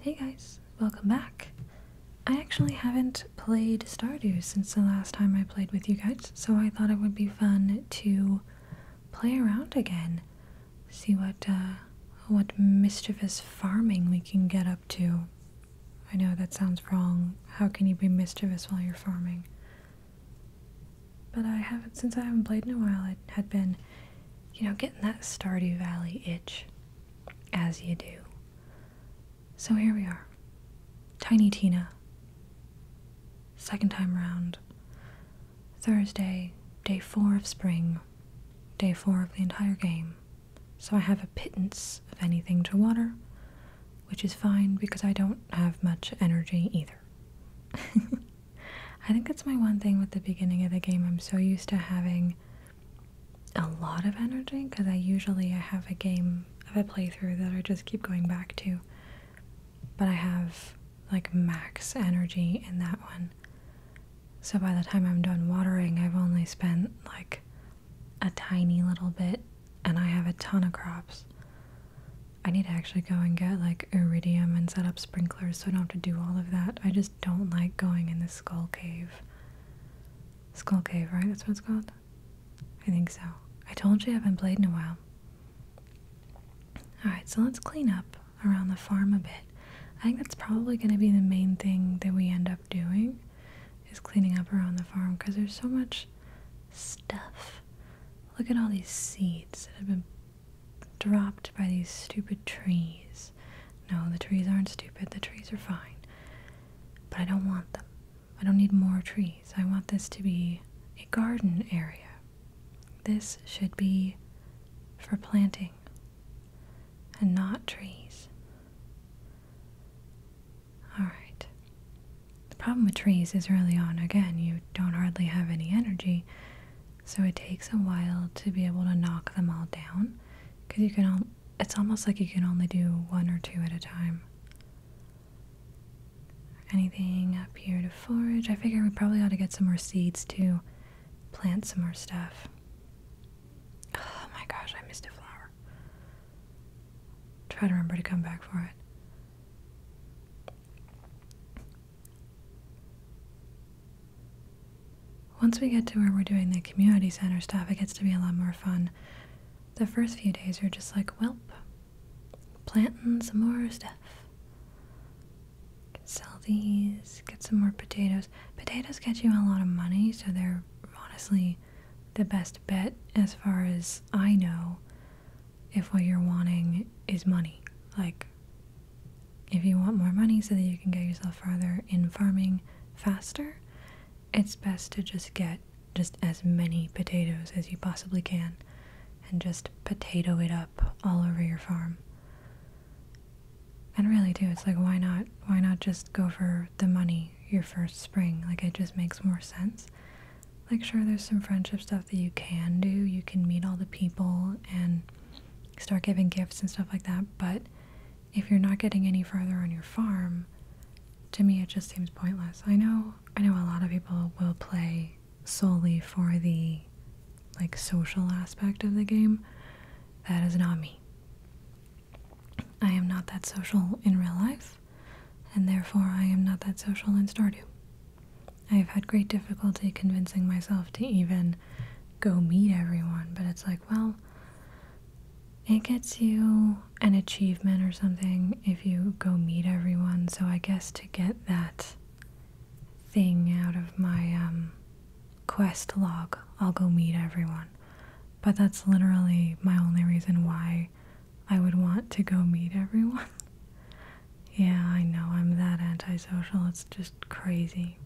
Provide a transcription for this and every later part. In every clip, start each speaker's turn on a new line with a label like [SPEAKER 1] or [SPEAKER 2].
[SPEAKER 1] Hey guys, welcome back. I actually haven't played Stardew since the last time I played with you guys, so I thought it would be fun to play around again. See what uh, what mischievous farming we can get up to. I know that sounds wrong. How can you be mischievous while you're farming? But I haven't since I haven't played in a while. It had been, you know, getting that Stardew Valley itch as you do. So here we are. Tiny Tina. Second time round. Thursday, day four of spring. Day four of the entire game. So I have a pittance of anything to water, which is fine because I don't have much energy either. I think that's my one thing with the beginning of the game. I'm so used to having a lot of energy because I usually I have a game of a playthrough that I just keep going back to. But I have like max energy in that one. So by the time I'm done watering, I've only spent like a tiny little bit and I have a ton of crops. I need to actually go and get like iridium and set up sprinklers so I don't have to do all of that. I just don't like going in the skull cave. Skull Cave, right? That's what it's called? I think so. I told you I haven't played in a while. Alright, so let's clean up around the farm a bit. I think that's probably going to be the main thing that we end up doing is cleaning up around the farm because there's so much stuff. Look at all these seeds that have been dropped by these stupid trees. No, the trees aren't stupid. The trees are fine. But I don't want them. I don't need more trees. I want this to be a garden area. This should be for planting and not trees. Alright. The problem with trees is early on, again, you don't hardly have any energy, so it takes a while to be able to knock them all down because you can all it's almost like you can only do one or two at a time anything up here to forage i figure we probably ought to get some more seeds to plant some more stuff oh my gosh i missed a flower try to remember to come back for it once we get to where we're doing the community center stuff, it gets to be a lot more fun. The first few days are just like, welp, planting some more stuff. sell these, get some more potatoes. Potatoes get you a lot of money, so they're honestly the best bet as far as I know if what you're wanting is money. Like, if you want more money so that you can get yourself farther in farming faster, it's best to just get just as many potatoes as you possibly can and just potato it up all over your farm. And really too, it's like why not why not just go for the money your first spring? Like it just makes more sense. Like sure there's some friendship stuff that you can do. You can meet all the people and start giving gifts and stuff like that, but if you're not getting any further on your farm, to me it just seems pointless. I know I know a lot of people will play solely for the like social aspect of the game. That is not me. I am not that social in real life, and therefore I am not that social in Stardew. I have had great difficulty convincing myself to even go meet everyone, but it's like well, it gets you an achievement or something if you go meet everyone. So I guess to get that thing out of my um, quest log, I'll go meet everyone. But that's literally my only reason why I would want to go meet everyone. yeah, I know I'm that antisocial. It's just crazy.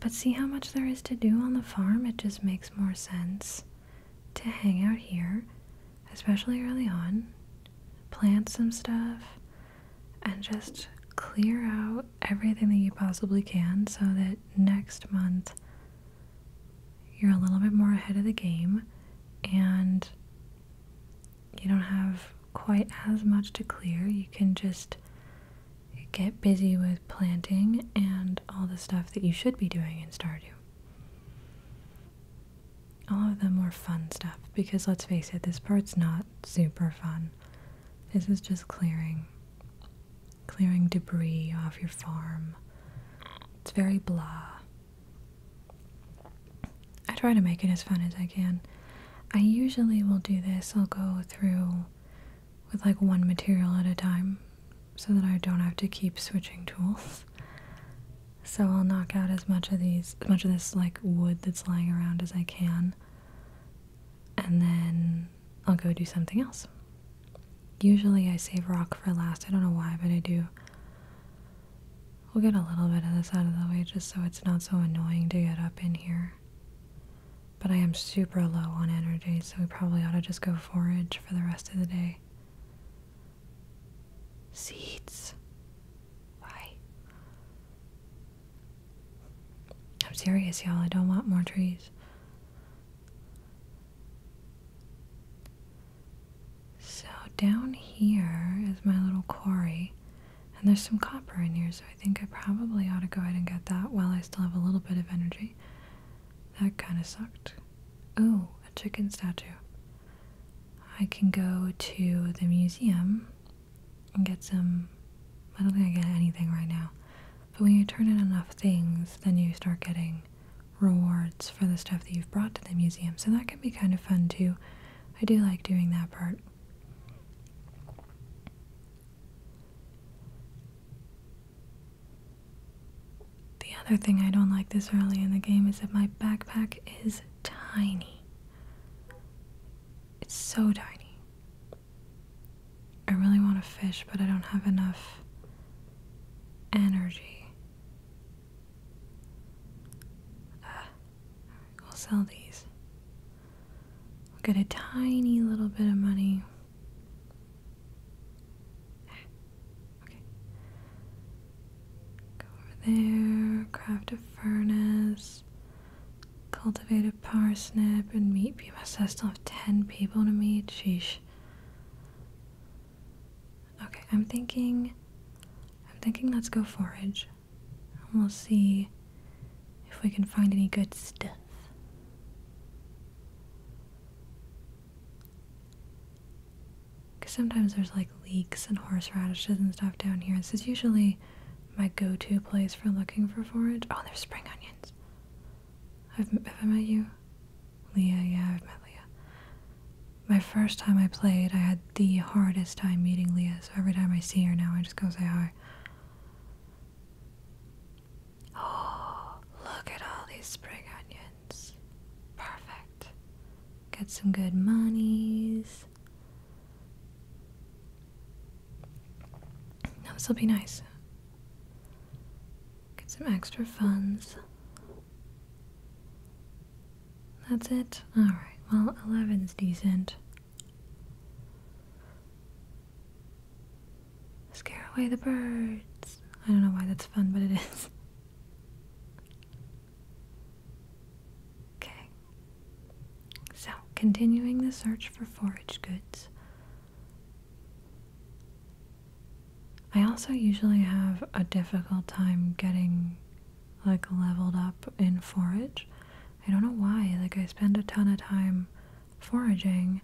[SPEAKER 1] But see how much there is to do on the farm? It just makes more sense to hang out here, especially early on, plant some stuff, and just clear out everything that you possibly can so that next month you're a little bit more ahead of the game and you don't have quite as much to clear. You can just get busy with planting and all the stuff that you should be doing in Stardew. All of the more fun stuff, because let's face it, this part's not super fun. This is just clearing, clearing debris off your farm. It's very blah. I try to make it as fun as I can. I usually will do this, I'll go through with like one material at a time so that I don't have to keep switching tools. So I'll knock out as much of these, as much of this like wood that's lying around as I can, and then I'll go do something else. Usually I save rock for last, I don't know why, but I do. We'll get a little bit of this out of the way just so it's not so annoying to get up in here. But I am super low on energy, so we probably ought to just go forage for the rest of the day. Seeds. Why? I'm serious, y'all. I don't want more trees. So, down here is my little quarry. And there's some copper in here, so I think I probably ought to go ahead and get that while I still have a little bit of energy. That kind of sucked. Oh, a chicken statue. I can go to the museum and get some. I don't think I get anything right now. But when you turn in enough things, then you start getting rewards for the stuff that you've brought to the museum. So that can be kind of fun too. I do like doing that part. The other thing I don't like this early in the game is that my backpack is tiny. It's so tiny. I really want to fish, but I don't have enough energy. Ah we'll sell these. We'll get a tiny little bit of money. Okay. Go over there, craft a furnace, cultivate a parsnip, and meet people. So I still have 10 people to meet. Sheesh. Okay, I'm thinking. I'm thinking let's go forage and we'll see if we can find any good stuff. Because sometimes there's like leeks and horseradishes and stuff down here. This is usually my go to place for looking for forage. Oh, there's spring onions. I've, have I met you? Leah, yeah, I've met Leah. My first time I played, I had the hardest time meeting Leah, so every time I see her now, I just go say hi more. Oh, look at all these spring onions. Perfect. Get some good monies. Now this will be nice. Get some extra funds. That's it? Alright, well, 11's decent. Scare away the birds. I don't know why that's fun, but it is. Okay. So, continuing the search for forage goods. I also usually have a difficult time getting like leveled up in forage I don't know why. Like, I spend a ton of time foraging,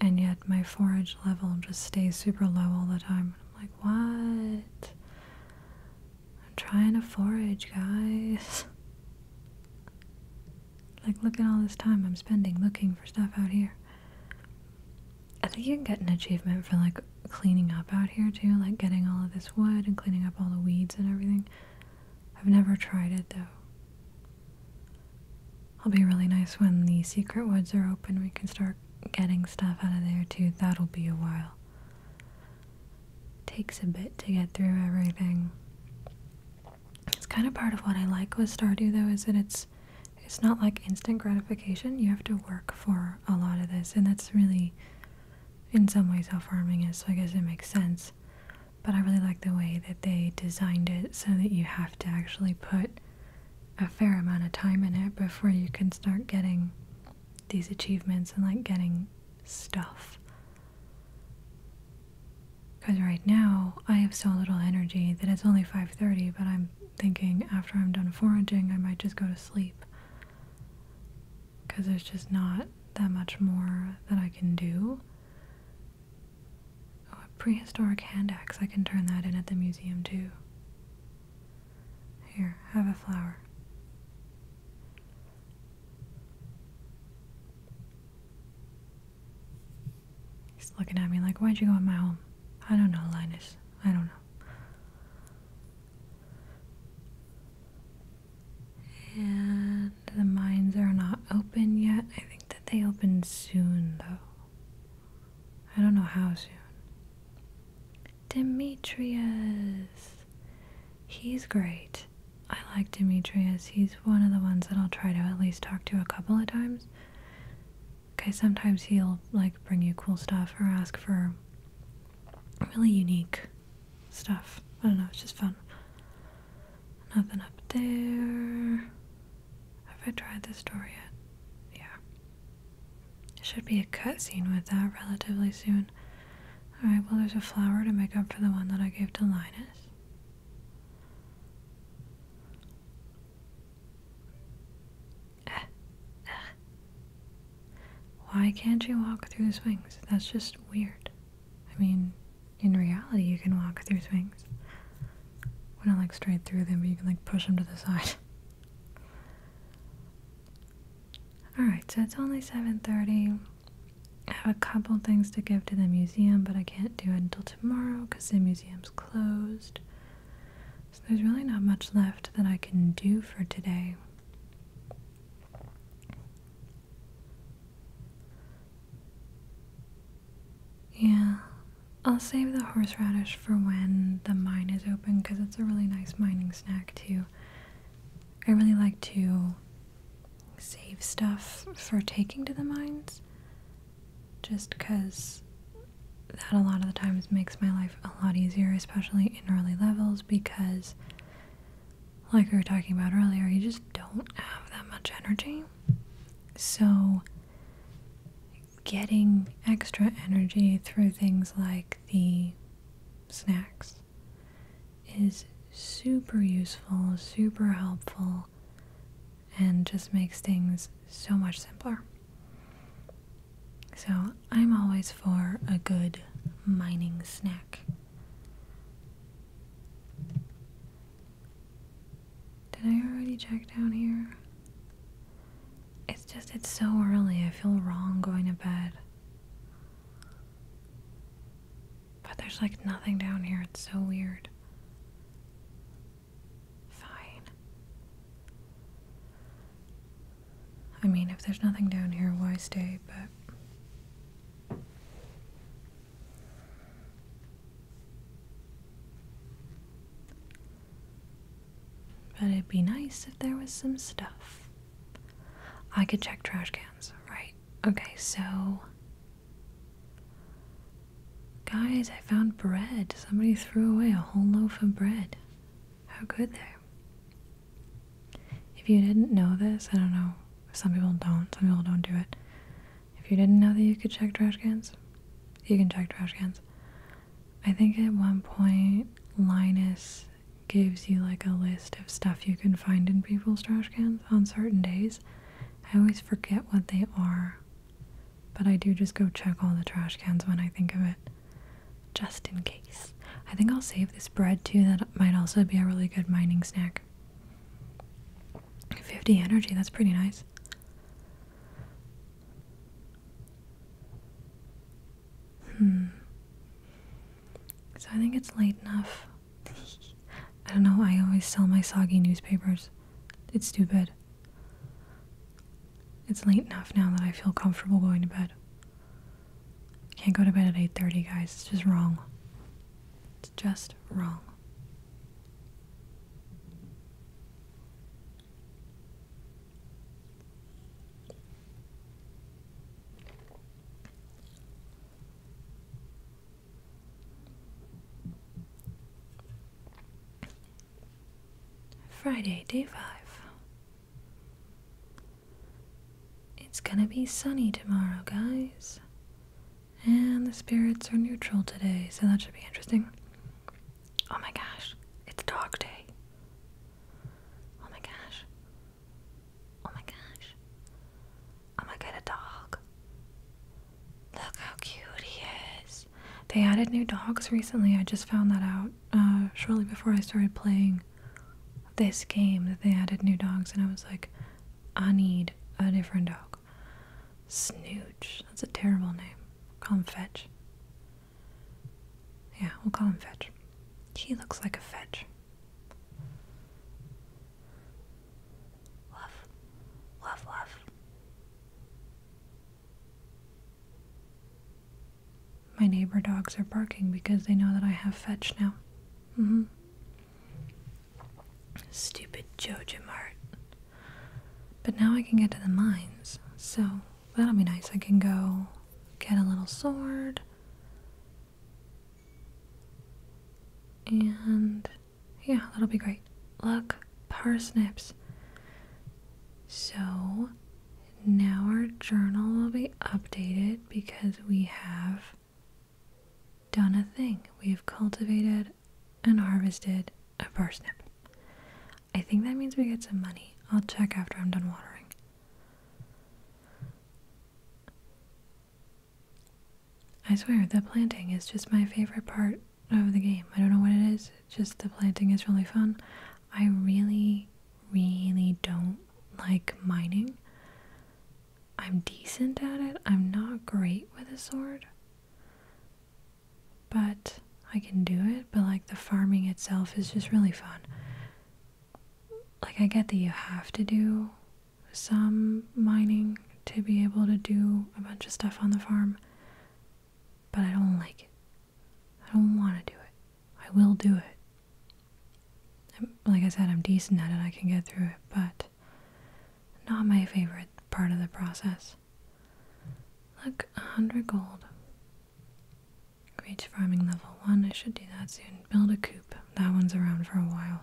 [SPEAKER 1] and yet my forage level just stays super low all the time. I'm like, what? I'm trying to forage, guys. Like, look at all this time I'm spending looking for stuff out here. I think you can get an achievement for, like, cleaning up out here, too. Like, getting all of this wood and cleaning up all the weeds and everything. I've never tried it though. I'll be really nice when the secret woods are open. We can start getting stuff out of there too. That'll be a while. Takes a bit to get through everything. It's kind of part of what I like with Stardew though is that it's it's not like instant gratification. You have to work for a lot of this and that's really in some ways how farming is so I guess it makes sense but I really like the way that they designed it so that you have to actually put a fair amount of time in it before you can start getting these achievements and like getting stuff. Because right now I have so little energy that it's only 5:30, but I'm thinking after I'm done foraging, I might just go to sleep. Because there's just not that much more that I can do. Oh, a prehistoric hand axe. I can turn that in at the museum too. Here, have a flower. He's looking at me like, why'd you go in my home? I don't know, Linus. I don't know. And the mines are not open yet. I think that they open soon, though. I don't know how soon. Demetrius! He's great. I like Demetrius. He's one of the ones that I'll try to at least talk to a couple of times. Okay, sometimes he'll like bring you cool stuff or ask for really unique stuff. I don't know, it's just fun. Nothing up there. Have I tried this door yet? Yeah. should be a cutscene with that relatively soon. Alright, well, there's a flower to make up for the one that I gave to Linus. Eh, eh. Why can't you walk through the swings? That's just weird. I mean, in reality, you can walk through swings. Well, not like straight through them, but you can like push them to the side. Alright, so it's only 7.30. I have a couple things to give to the museum, but I can't do it until tomorrow because the museum's closed. So there's really not much left that I can do for today. Yeah, I'll save the horseradish for when the mine is open because it's a really nice mining snack too. I really like to save stuff for taking to the mines just because that a lot of the times makes my life a lot easier, especially in early levels because like we were talking about earlier, you just don't have that much energy. So, getting extra energy through things like the snacks is super useful, super helpful, and just makes things so much simpler. So, I'm always for a good mining snack. Did I already check down here? It's just, it's so early. I feel wrong going to bed. But there's like nothing down here. It's so weird. Fine. I mean, if there's nothing down here, why stay? But but it'd be nice if there was some stuff. I could check trash cans, right? Okay, so. Guys, I found bread. Somebody threw away a whole loaf of bread. How good there. If you didn't know this, I don't know. Some people don't. Some people don't do it. If you didn't know that you could check trash cans, you can check trash cans. I think at one point Linus gives you like a list of stuff you can find in people's trash cans on certain days. I always forget what they are, but I do just go check all the trash cans when I think of it, just in case. I think I'll save this bread too, that might also be a really good mining snack. 50 energy, that's pretty nice. Hmm. So I think it's late enough. I don't know, I always sell my soggy newspapers. It's stupid. It's late enough now that I feel comfortable going to bed. Can't go to bed at 8:30, guys. It's just wrong. It's just wrong. Friday, day five. It's gonna be sunny tomorrow, guys. And the spirits are neutral today, so that should be interesting. Oh my gosh, it's dog day. Oh my gosh. Oh my gosh. Oh my going a dog. Look how cute he is. They added new dogs recently. I just found that out uh, shortly before I started playing this game that they added new dogs, and I was like, I need a different dog. Snooch. That's a terrible name. Call him Fetch. Yeah, we'll call him Fetch. He looks like a fetch. Love, love, love. My neighbor dogs are barking because they know that I have fetch now. Mm-hmm. Stupid Jojo Mart. But now I can get to the mines, so that'll be nice. I can go get a little sword. And yeah, that'll be great. Look, parsnips. So now our journal will be updated because we have done a thing. We have cultivated and harvested a parsnip. I think that means we get some money. I'll check after I'm done watering. I swear, the planting is just my favorite part of the game. I don't know what it is, just the planting is really fun. I really, really don't like mining. I'm decent at it. I'm not great with a sword. But I can do it. But like the farming itself is just really fun. Like I get that you have to do some mining to be able to do a bunch of stuff on the farm. But I don't like it. I don't want to do it. I will do it like I said, I'm decent at it, I can get through it, but not my favorite part of the process. Look, 100 gold. Reach farming level 1, I should do that soon. Build a coop, that one's around for a while.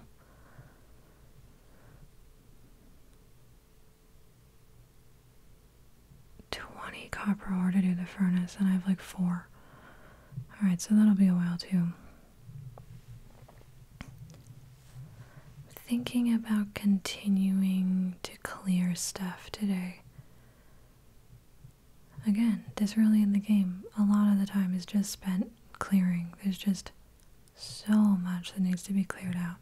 [SPEAKER 1] Twenty copper ore to do the furnace, and I have like four. Alright, so that'll be a while too. Thinking about continuing to clear stuff today. Again, this early in the game, a lot of the time is just spent clearing. There's just so much that needs to be cleared out.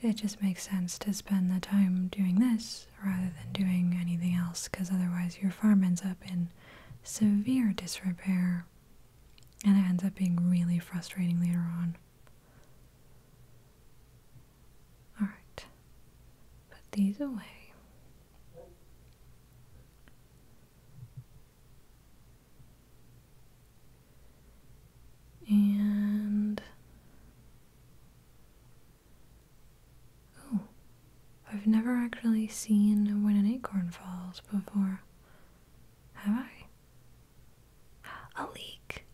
[SPEAKER 1] It just makes sense to spend the time doing this rather than doing anything else because otherwise your farm ends up in severe disrepair, and it ends up being really frustrating later on. Alright, put these away. And Oh, I've never actually seen when an acorn falls before. Have I? A leak.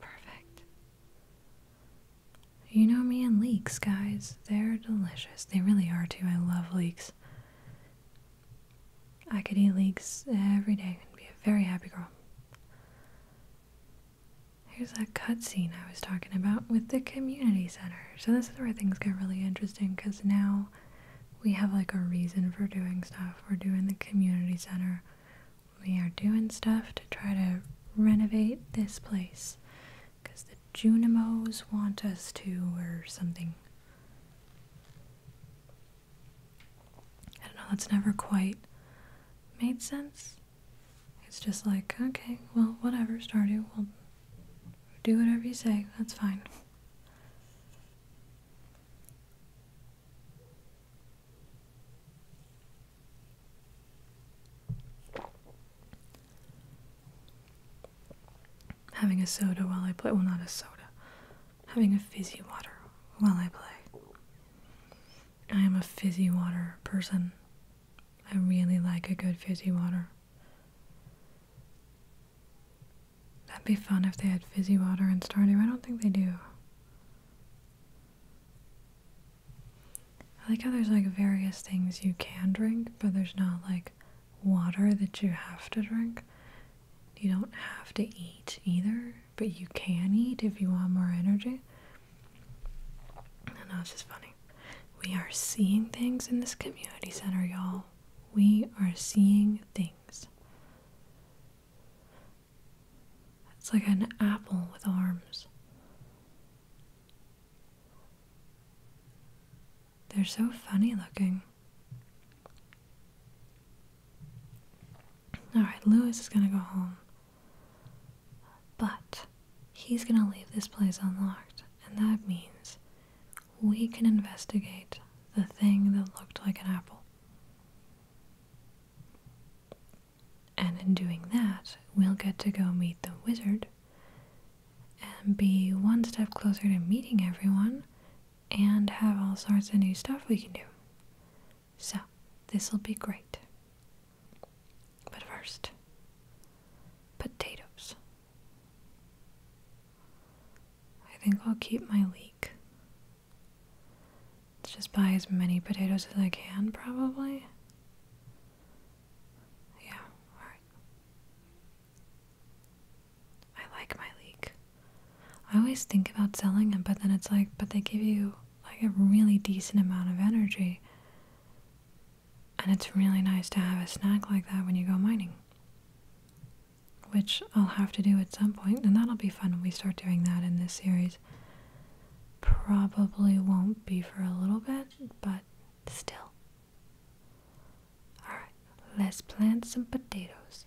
[SPEAKER 1] Perfect. You know me and leeks, guys. They're delicious. They really are, too. I love leeks. I could eat leeks every day and be a very happy girl. Here's that cutscene I was talking about with the community center. So this is where things get really interesting because now we have like a reason for doing stuff. We're doing the community center. We are doing stuff to try to renovate this place because the Junimos want us to or something. I don't know, that's never quite made sense. It's just like, okay, well, whatever, Stardew, we'll do whatever you say, that's fine. Having a soda while I play, well, not a soda, having a fizzy water while I play. I am a fizzy water person. I really like a good fizzy water. That'd be fun if they had fizzy water in starter. I don't think they do. I like how there's like various things you can drink, but there's not like water that you have to drink. You don't have to eat either, but you can eat if you want more energy. And that's just funny. We are seeing things in this community center, y'all. We are seeing things. It's like an apple with arms. They're so funny looking. Alright, Louis is gonna go home. But he's going to leave this place unlocked, and that means we can investigate the thing that looked like an apple. And in doing that, we'll get to go meet the wizard and be one step closer to meeting everyone and have all sorts of new stuff we can do. So, this will be great. But first, potatoes. I think I'll keep my leek. Let's just buy as many potatoes as I can, probably. Yeah, alright. I like my leek. I always think about selling them, but then it's like, but they give you like a really decent amount of energy. And it's really nice to have a snack like that when you go mining. Which I'll have to do at some point, and that'll be fun when we start doing that in this series. Probably won't be for a little bit, but still. Alright, let's plant some potatoes.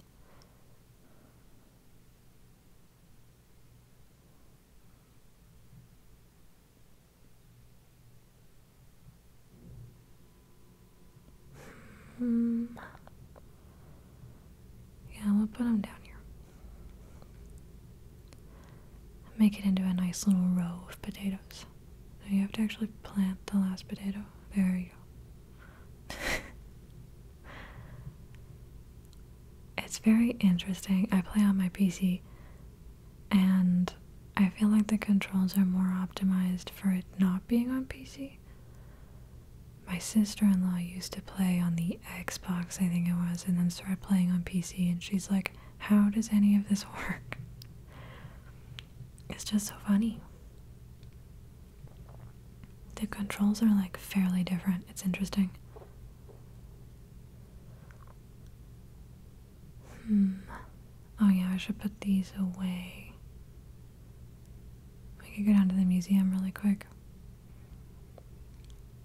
[SPEAKER 1] Hmm. Yeah, we'll put them down here. Make it into a nice little row of potatoes. you have to actually plant the last potato. There you go. it's very interesting. I play on my PC and I feel like the controls are more optimized for it not being on PC. My sister in law used to play on the Xbox, I think it was, and then started playing on PC, and she's like, How does any of this work? It's just so funny. The controls are like fairly different. It's interesting. Hmm. Oh yeah, I should put these away. We could go down to the museum really quick.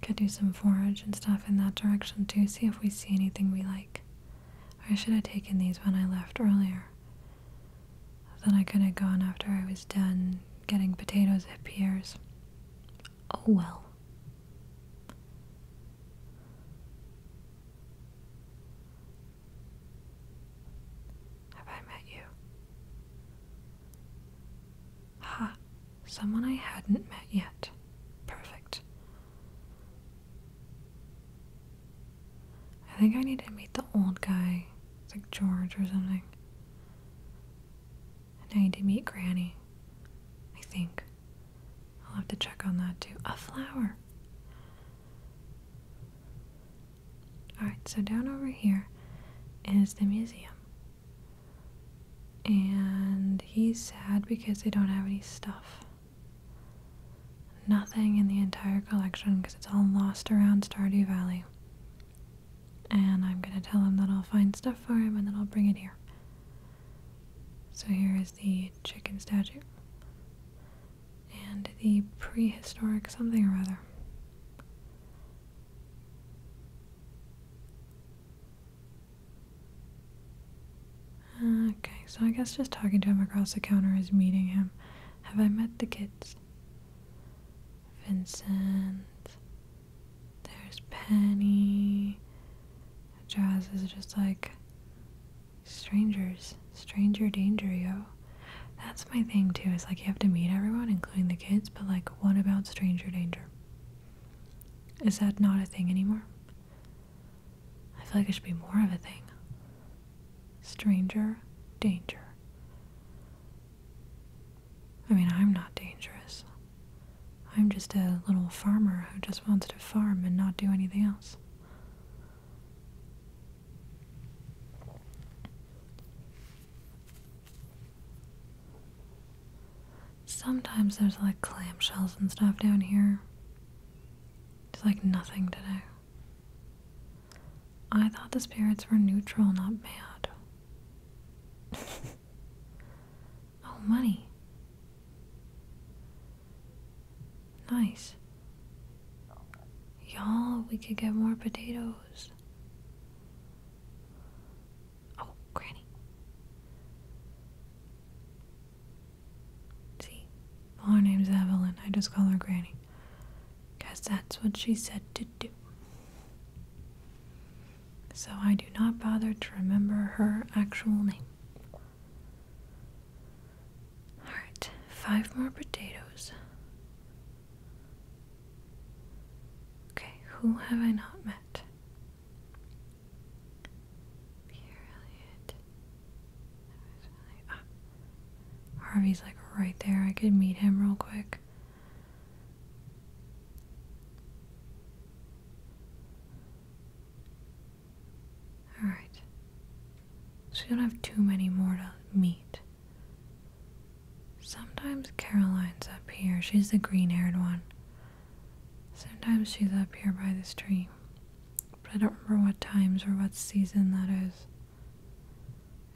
[SPEAKER 1] Could do some forage and stuff in that direction too, see if we see anything we like. I should have taken these when I left earlier. Then I could have gone after I was done getting potatoes at Pierre's. Oh well. Have I met you? Ah, someone I hadn't met yet. Perfect. I think I need to meet the old guy. like George or something. And I need to meet Granny. I think. I'll have to check on that too. A flower. Alright, so down over here is the museum. And he's sad because they don't have any stuff. Nothing in the entire collection because it's all lost around Stardew Valley. And I'm going to tell him that I'll find stuff for him and then I'll bring it here. So here is the chicken statue and the prehistoric something or other. Okay, so I guess just talking to him across the counter is meeting him. Have I met the kids? Vincent. There's Penny. Jazz is just like strangers, stranger danger, yo. That's my thing too. Is like you have to meet everyone, including the kids, but like, what about stranger danger? Is that not a thing anymore? I feel like it should be more of a thing. Stranger danger. I mean, I'm not dangerous. I'm just a little farmer who just wants to farm and not do anything else. Sometimes there's like clamshells and stuff down here. It's like nothing to do. I thought the spirits were neutral, not mad. Oh, money. Nice. Y'all, we could get more potatoes. Oh, Granny. See? her name's Evelyn. I just call her Granny. Guess that's what she said to do. So I do not bother to remember her actual name. Alright, five more potatoes. Okay, who have I not met? Pierre ah, Harvey's like right there. I could meet him real quick. Alright. So you don't have too many more to meet. Sometimes Caroline's up here. She's the green haired one. Sometimes she's up here by the stream, But I don't remember what times or what season that is.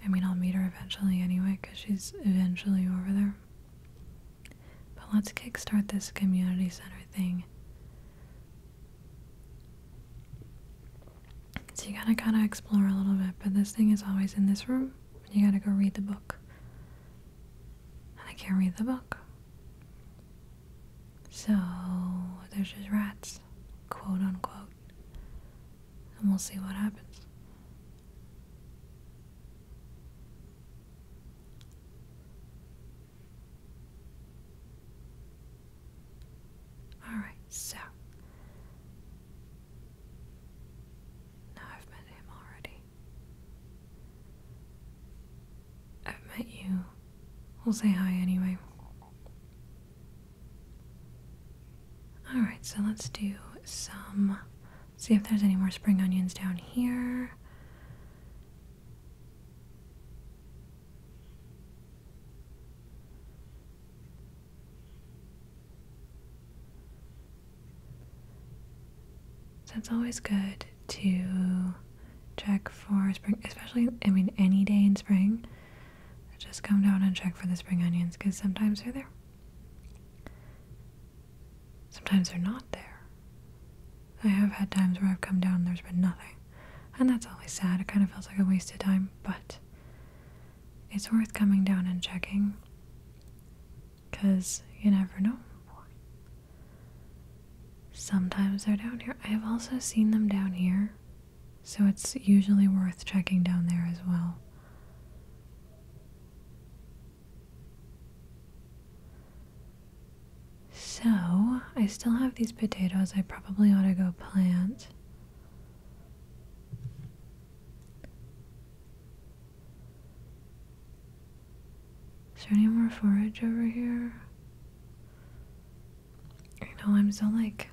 [SPEAKER 1] I mean, I'll meet her eventually anyway, because she's eventually over there. But let's kickstart this community center thing. So you gotta kind of explore a little bit, but this thing is always in this room. You gotta go read the book. And I can't read the book. So there's just rats, quote unquote. And we'll see what happens. All right, so now I've met him already. I've met you. We'll say hi anyway. All right, so let's do some. See if there's any more spring onions down here. So it's always good to check for spring, especially, I mean, any day in spring. Just come down and check for the spring onions because sometimes they're there. Sometimes they're not there. I have had times where I've come down and there's been nothing. And that's always sad. It kind of feels like a waste of time, but it's worth coming down and checking. Because you never know. Sometimes they're down here. I've also seen them down here. So it's usually worth checking down there as well. So, I still have these potatoes I probably ought to go plant. Is there any more forage over here? I know I'm so like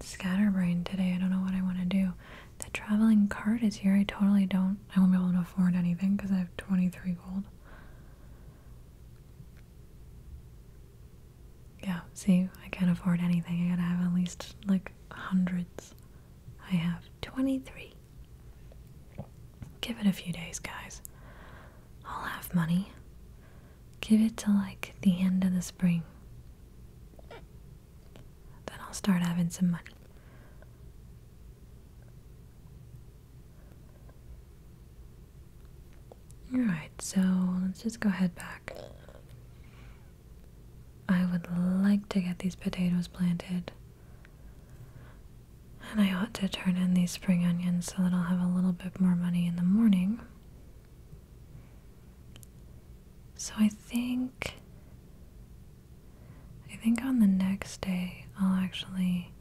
[SPEAKER 1] scatterbrained today. I don't know what I want to do. The traveling cart is here. I totally don't. I won't be able to afford anything because I have 23 gold. Yeah, see, I can't afford anything. I gotta have at least like hundreds. I have 23. Give it a few days, guys. I'll have money. Give it till like the end of the spring. Then I'll start having some money. Alright, so let's just go head back. I would like to get these potatoes planted. And I ought to turn in these spring onions so that I'll have a little bit more money in the morning. So I think. I think on the next day I'll actually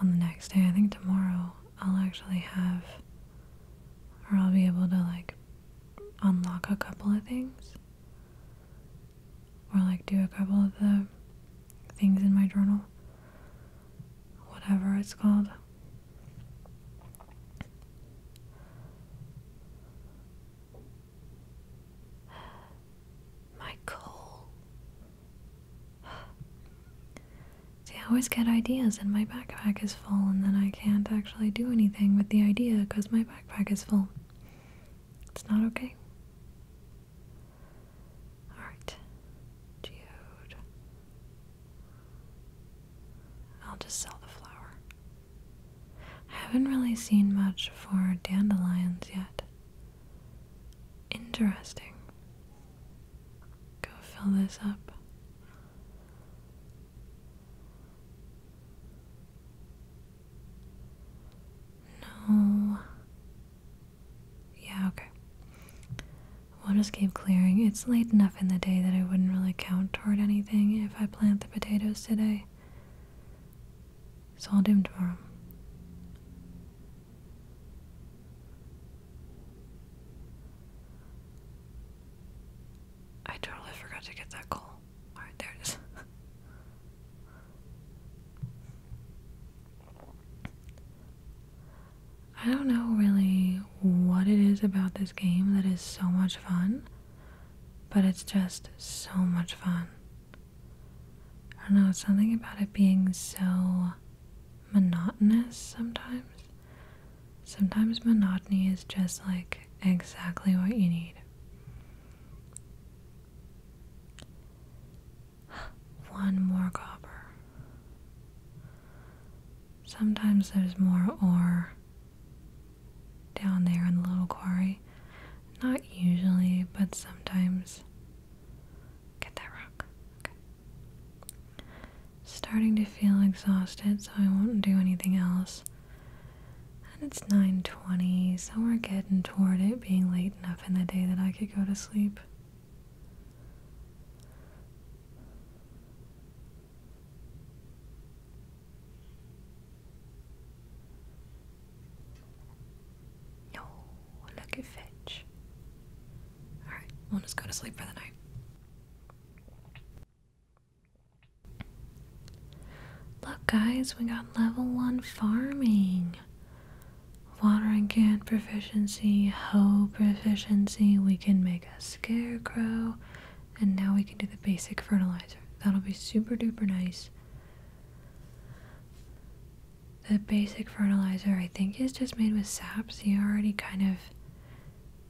[SPEAKER 1] on the next day. I think tomorrow I'll actually have, or I'll be able to like unlock a couple of things, or like do a couple of the things in my journal, whatever it's called. My goal See, I always get ideas and my backpack is full, and then I can't actually do anything with the idea because my backpack is full. It's not okay. Alright. Geode. I'll just sell the flower. I haven't really seen much for dandelions yet. Interesting. Go fill this up. No. Yeah, okay. We'll just keep clearing. It's late enough in the day that I wouldn't really count toward anything if I plant the potatoes today. So I'll do them tomorrow. I totally forgot to get that coal. Alright, there it is. I don't know really what it is about this game that is so much fun, but it's just so much fun. I don't know, it's something about it being so monotonous sometimes. Sometimes monotony is just like exactly what you need. One more copper. Sometimes there's more ore down there in the little quarry. Not usually, but sometimes. Get that rock. Okay. Starting to feel exhausted, so I won't do anything else. And it's 9:20, so we're getting toward it being late enough in the day that I could go to sleep. No, look at Fitch. Alright, we'll just go to sleep for the night. Look, guys, we got level 1 farming. Watering can proficiency, hoe proficiency, we can make a scarecrow, and now we can do the basic fertilizer. That'll be super duper nice the basic fertilizer I think is just made with saps. You already kind of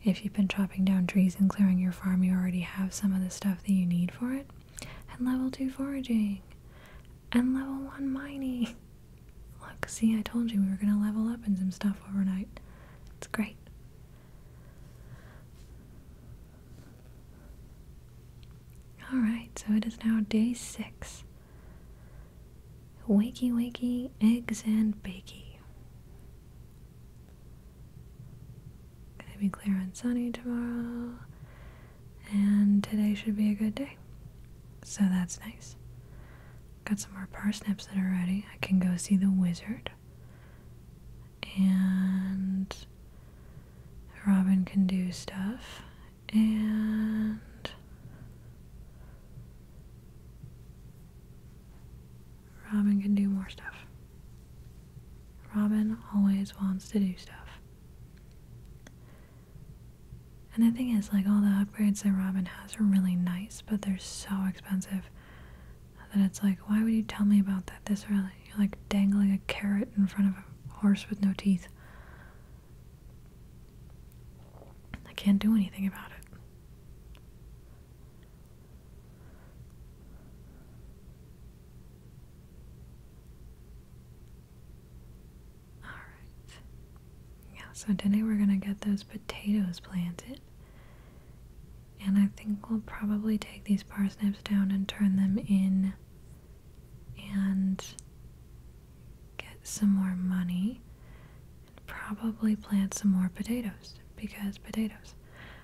[SPEAKER 1] if you've been chopping down trees and clearing your farm, you already have some of the stuff that you need for it. And level 2 foraging. And level 1 mining. Look, see, I told you we were going to level up in some stuff overnight. It's great. Alright, so it is now day 6. Wakey wakey, eggs and bacon. Gonna be clear and sunny tomorrow, and today should be a good day. So that's nice. Got some more parsnips that are ready. I can go see the wizard. And Robin can do stuff and Robin can do more stuff. Robin always wants to do stuff. And the thing is, like, all the upgrades that Robin has are really nice, but they're so expensive that it's like, why would you tell me about that this early? You're like dangling a carrot in front of a horse with no teeth. I can't do anything about it. All right. Yeah, so today we're going to get those potatoes planted. And I think we'll probably take these parsnips down and turn them in and get some more money and probably plant some more potatoes because potatoes.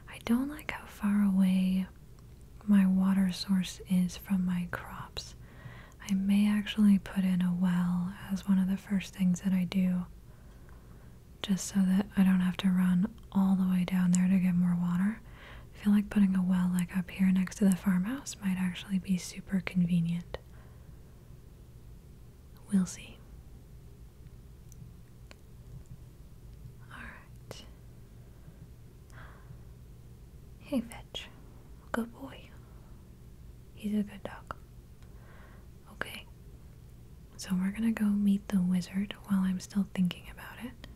[SPEAKER 1] I don't like how far away my water source is from my crops. I may actually put in a well as one of the first things that I do just so that I don't have to run all the way down there to get more water. I feel like putting a well like up here next to the farmhouse might actually be super convenient. We'll see. Alright. Hey, Fetch. Good boy. He's a good dog. Okay. So we're gonna go meet the wizard while I'm still thinking about it.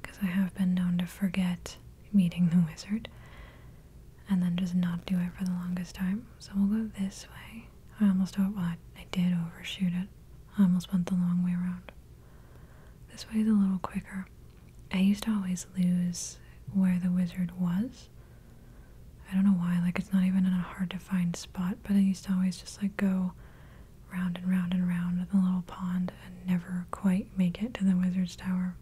[SPEAKER 1] Because I have been known to forget meeting the wizard and then just not do it for the longest time. So we'll go this way. I almost over well, I, I did overshoot it. I almost went the long way around. This way is a little quicker. I used to always lose where the wizard was. I don't know why, like it's not even in a hard to find spot, but I used to always just like go round and round and round in the little pond and never quite make it to the wizard's tower.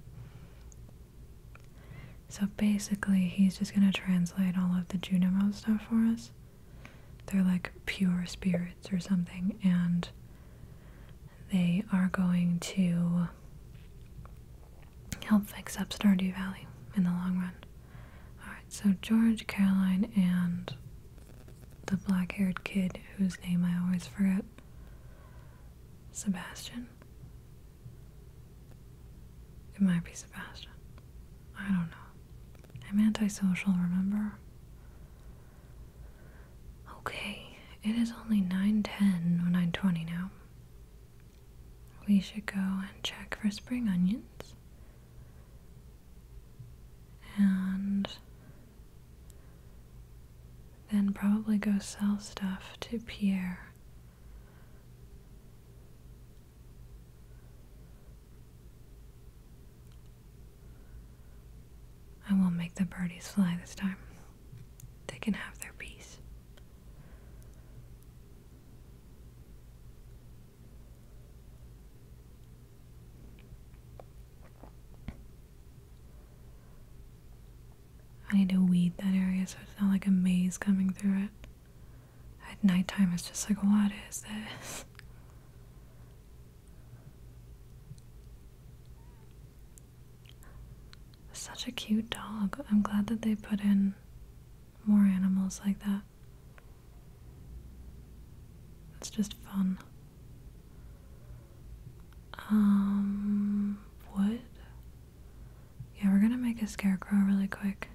[SPEAKER 1] So basically, he's just gonna translate all of the Junimo stuff for us. They're like pure spirits or something, and they are going to help fix up Stardew Valley in the long run. Alright, so George, Caroline, and the black haired kid whose name I always forget Sebastian. It might be Sebastian. I don't know. I'm antisocial, remember? Okay, it is only 9.10 or 9.20 now. We should go and check for spring onions. And then probably go sell stuff to Pierre. I will make the birdies fly this time. They can have their peace. I need to weed that area so it's not like a maze coming through it. At nighttime, it's just like, what is this? Such a cute dog. I'm glad that they put in more animals like that. It's just fun. Um, wood? Yeah, we're gonna make a scarecrow really quick.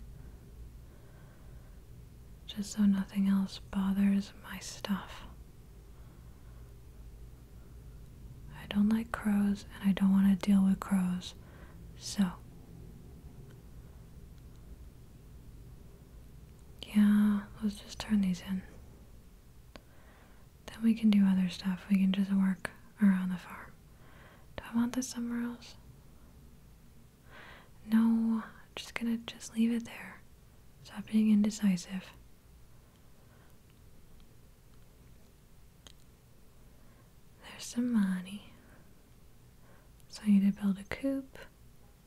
[SPEAKER 1] Just so nothing else bothers my stuff. I don't like crows and I don't want to deal with crows. So. Yeah, let's just turn these in. Then we can do other stuff. We can just work around the farm. Do I want this somewhere else? No, I'm just gonna just leave it there. Stop being indecisive. There's some money. So I need to build a coop,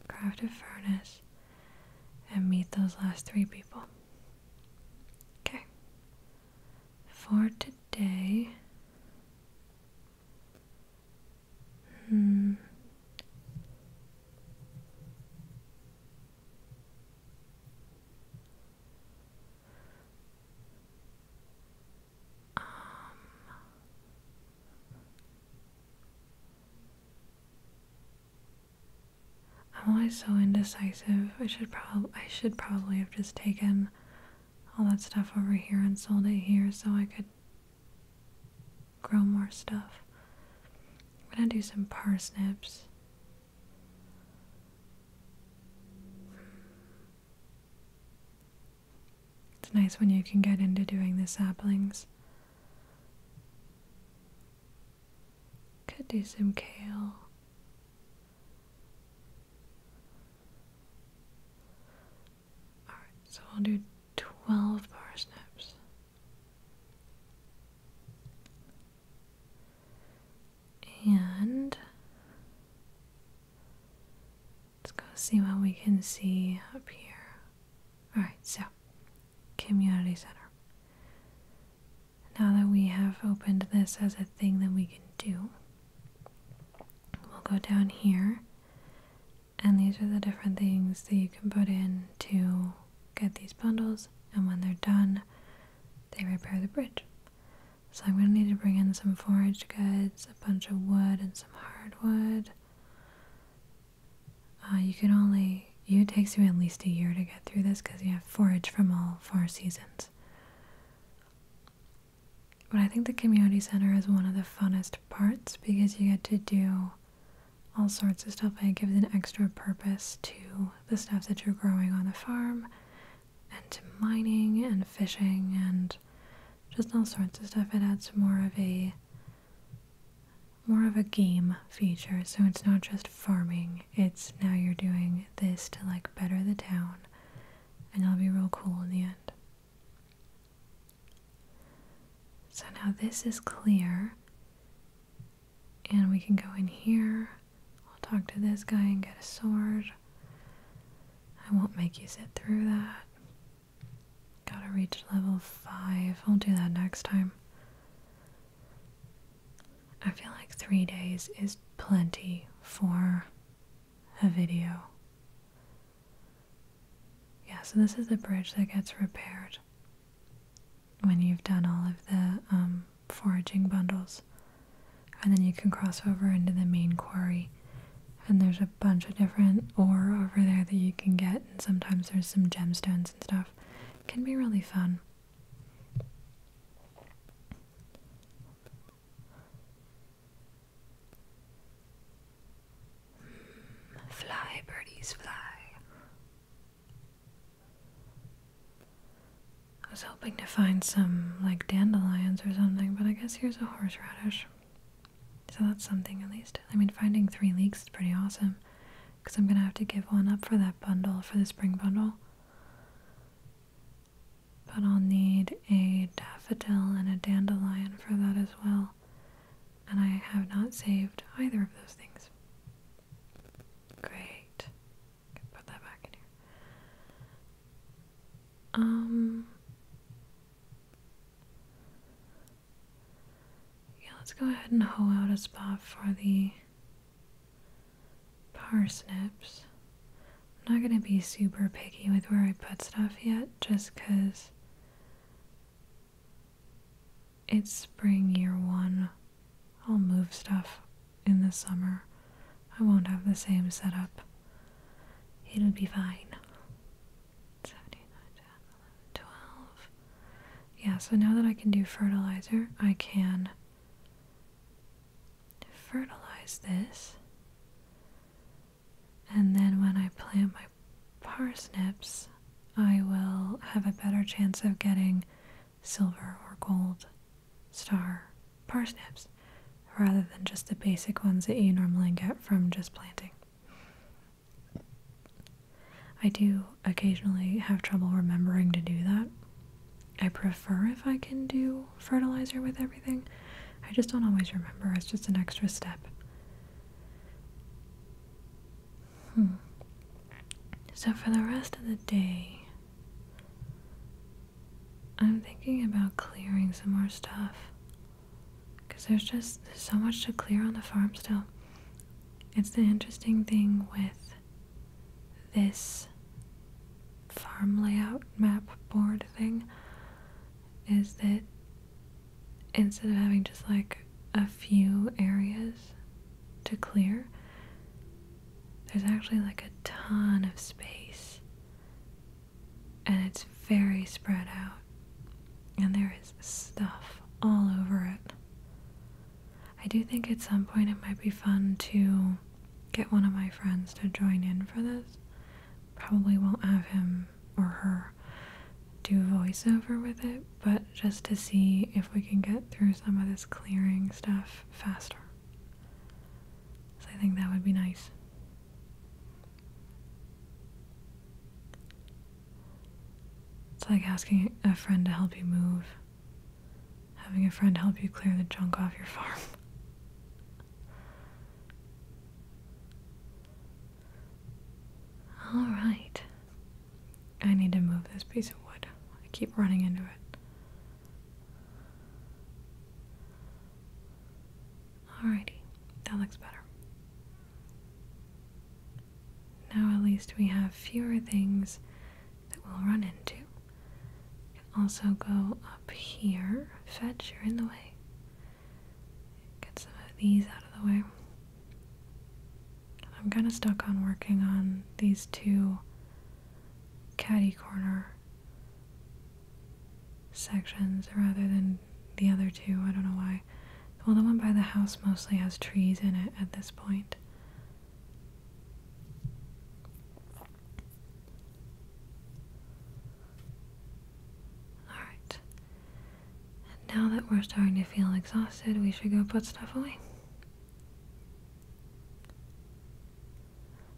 [SPEAKER 1] craft a furnace, and meet those last three people. Okay for today. Hmm, um. I'm always so indecisive. I should probably I should probably have just taken all that stuff over here and sold it here so I could grow more stuff. I'm gonna do some parsnips. It's nice when you can get into doing the saplings. Could do some kale. Alright, so I'll do 12 parsnips. And let's go see what we can see up here. Alright, so community center. Now that we have opened this as a thing that we can do, we'll go down here, and these are the different things that you can put in to get these bundles, and when they're done, they repair the bridge. So I'm going to need to bring in some forage goods, a bunch of wood, and some hardwood. Uh, you can only, it takes you at least a year to get through this because you have forage from all four seasons. But I think the community center is one of the funnest parts because you get to do all sorts of stuff and it gives an extra purpose to the stuff that you're growing on the farm and to mining and fishing and just all sorts of stuff. It adds more of a more of a game feature, so it's not just farming it's now you're doing this to like better the town, and it'll be real cool in the end. So now this is clear, and we can go in here. I'll talk to this guy and get a sword. I won't make you sit through that. Gotta reach level 5. I'll do that next time. I feel like three days is plenty for a video. Yeah, so this is the bridge that gets repaired when you've done all of the um, foraging bundles. And then you can cross over into the main quarry. And there's a bunch of different ore over there that you can get, and sometimes there's some gemstones and stuff. can be really fun fly, birdies, fly. I was hoping to find some like dandelions or something, but I guess here's a horseradish. So that's something at least. I mean, finding three leeks is pretty awesome because I'm gonna have to give one up for that bundle, for the spring bundle but I'll need a daffodil and a dandelion for that as well. And I have not saved either of those things. Great. put that back in here. Um, yeah, let's go ahead and hoe out a spot for the parsnips. I'm not going to be super picky with where I put stuff yet, just 'cause it's spring year one. I'll move stuff in the summer. I won't have the same setup. It'll be fine. 79, Yeah, so now that I can do fertilizer, I can fertilize this, and then when I plant my parsnips, I will have a better chance of getting silver or gold star parsnips rather than just the basic ones that you normally get from just planting. I do occasionally have trouble remembering to do that I prefer if I can do fertilizer with everything. I just don't always remember. It's just an extra step. Hmm. So for the rest of the day, I'm thinking about clearing some more stuff. Because there's just so much to clear on the farm still. It's the interesting thing with this farm layout map board thing is that instead of having just like a few areas to clear, there's actually like a ton of space and it's very spread out and there is stuff all over it. I do think at some point it might be fun to get one of my friends to join in for this. Probably won't have him or her do voiceover with it, but just to see if we can get through some of this clearing stuff faster. So I think that would be nice. It's like asking a friend to help you move. Having a friend help you clear the junk off your farm. Alright. I need to move this piece of wood. I keep running into it. Alrighty, that looks better. Now at least we have fewer things that we'll run into. You also go up here. Fetch, you're in the way. Get some of these out of the way. I'm kind of stuck on working on these two caddy corner sections rather than the other two. I don't know why. Well, the one by the house mostly has trees in it at this point. Alright. now that we're starting to feel exhausted, we should go put stuff away.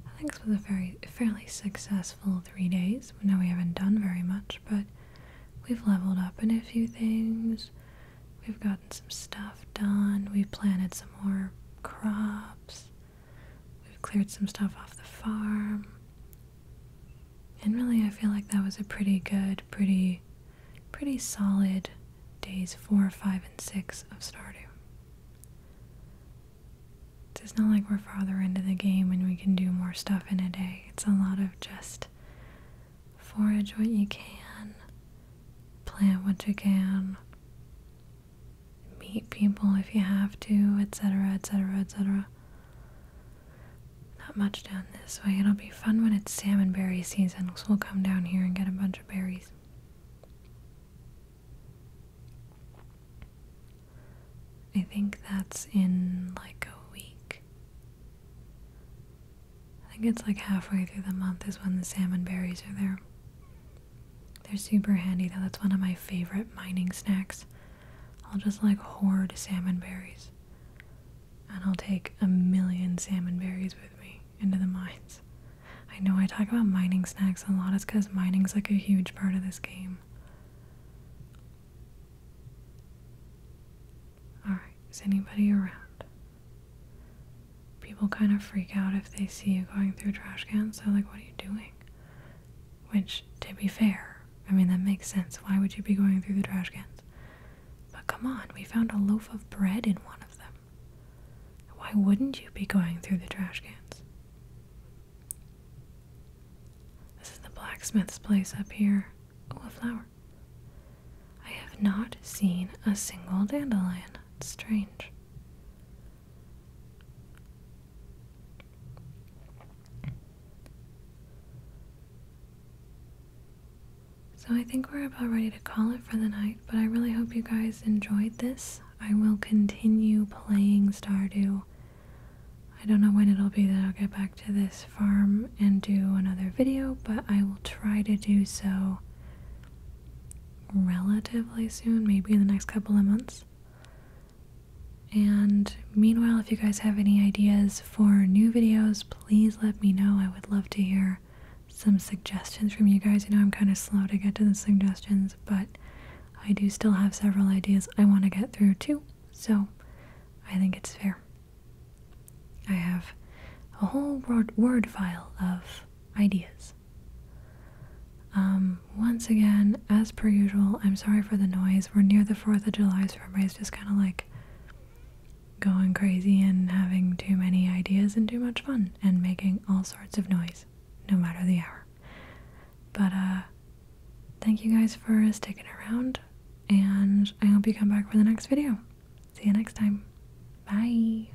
[SPEAKER 1] I think it's been a very fairly successful three days. know we haven't done very much, but we've leveled up in a few things. We've gotten some stuff done. We've planted some more crops. We've cleared some stuff off the farm. And really, I feel like that was a pretty good, pretty, pretty solid days four, five, and six of Stardew. It's not like we're farther into the game and we can do more stuff in a day. It's a lot of just forage what you can, plant what you can, meet people if you have to, etc., etc., etc. Not much down this way. It'll be fun when it's salmon berry season, so we'll come down here and get a bunch of berries. I think that's in like a week. I think it's like halfway through the month is when the salmon berries are there. They're super handy though. That's one of my favorite mining snacks. I'll just like hoard salmon berries. And I'll take a million salmon berries with me into the mines. I know I talk about mining snacks a lot. It's because mining's like a huge part of this game. Alright, is anybody around? people kind of freak out if they see you going through trash cans. They're like, what are you doing? Which, to be fair, I mean, that makes sense. Why would you be going through the trash cans? But come on, we found a loaf of bread in one of them. Why wouldn't you be going through the trash cans? This is the blacksmith's place up here. Oh, a flower. I have not seen a single dandelion. It's strange. So, I think we're about ready to call it for the night, but I really hope you guys enjoyed this. I will continue playing Stardew. I don't know when it'll be that I'll get back to this farm and do another video, but I will try to do so relatively soon, maybe in the next couple of months. And meanwhile, if you guys have any ideas for new videos, please let me know. I would love to hear some suggestions from you guys. You know, I'm kind of slow to get to the suggestions, but I do still have several ideas I want to get through too. So I think it's fair. I have a whole word, word file of ideas. Um, once again, as per usual, I'm sorry for the noise. We're near the 4th of July, so everybody's just kind of like going crazy and having too many ideas and too much fun and making all sorts of noise, no matter the hour. But, uh, thank you guys for sticking around, and I hope you come back for the next video. See you next time. Bye.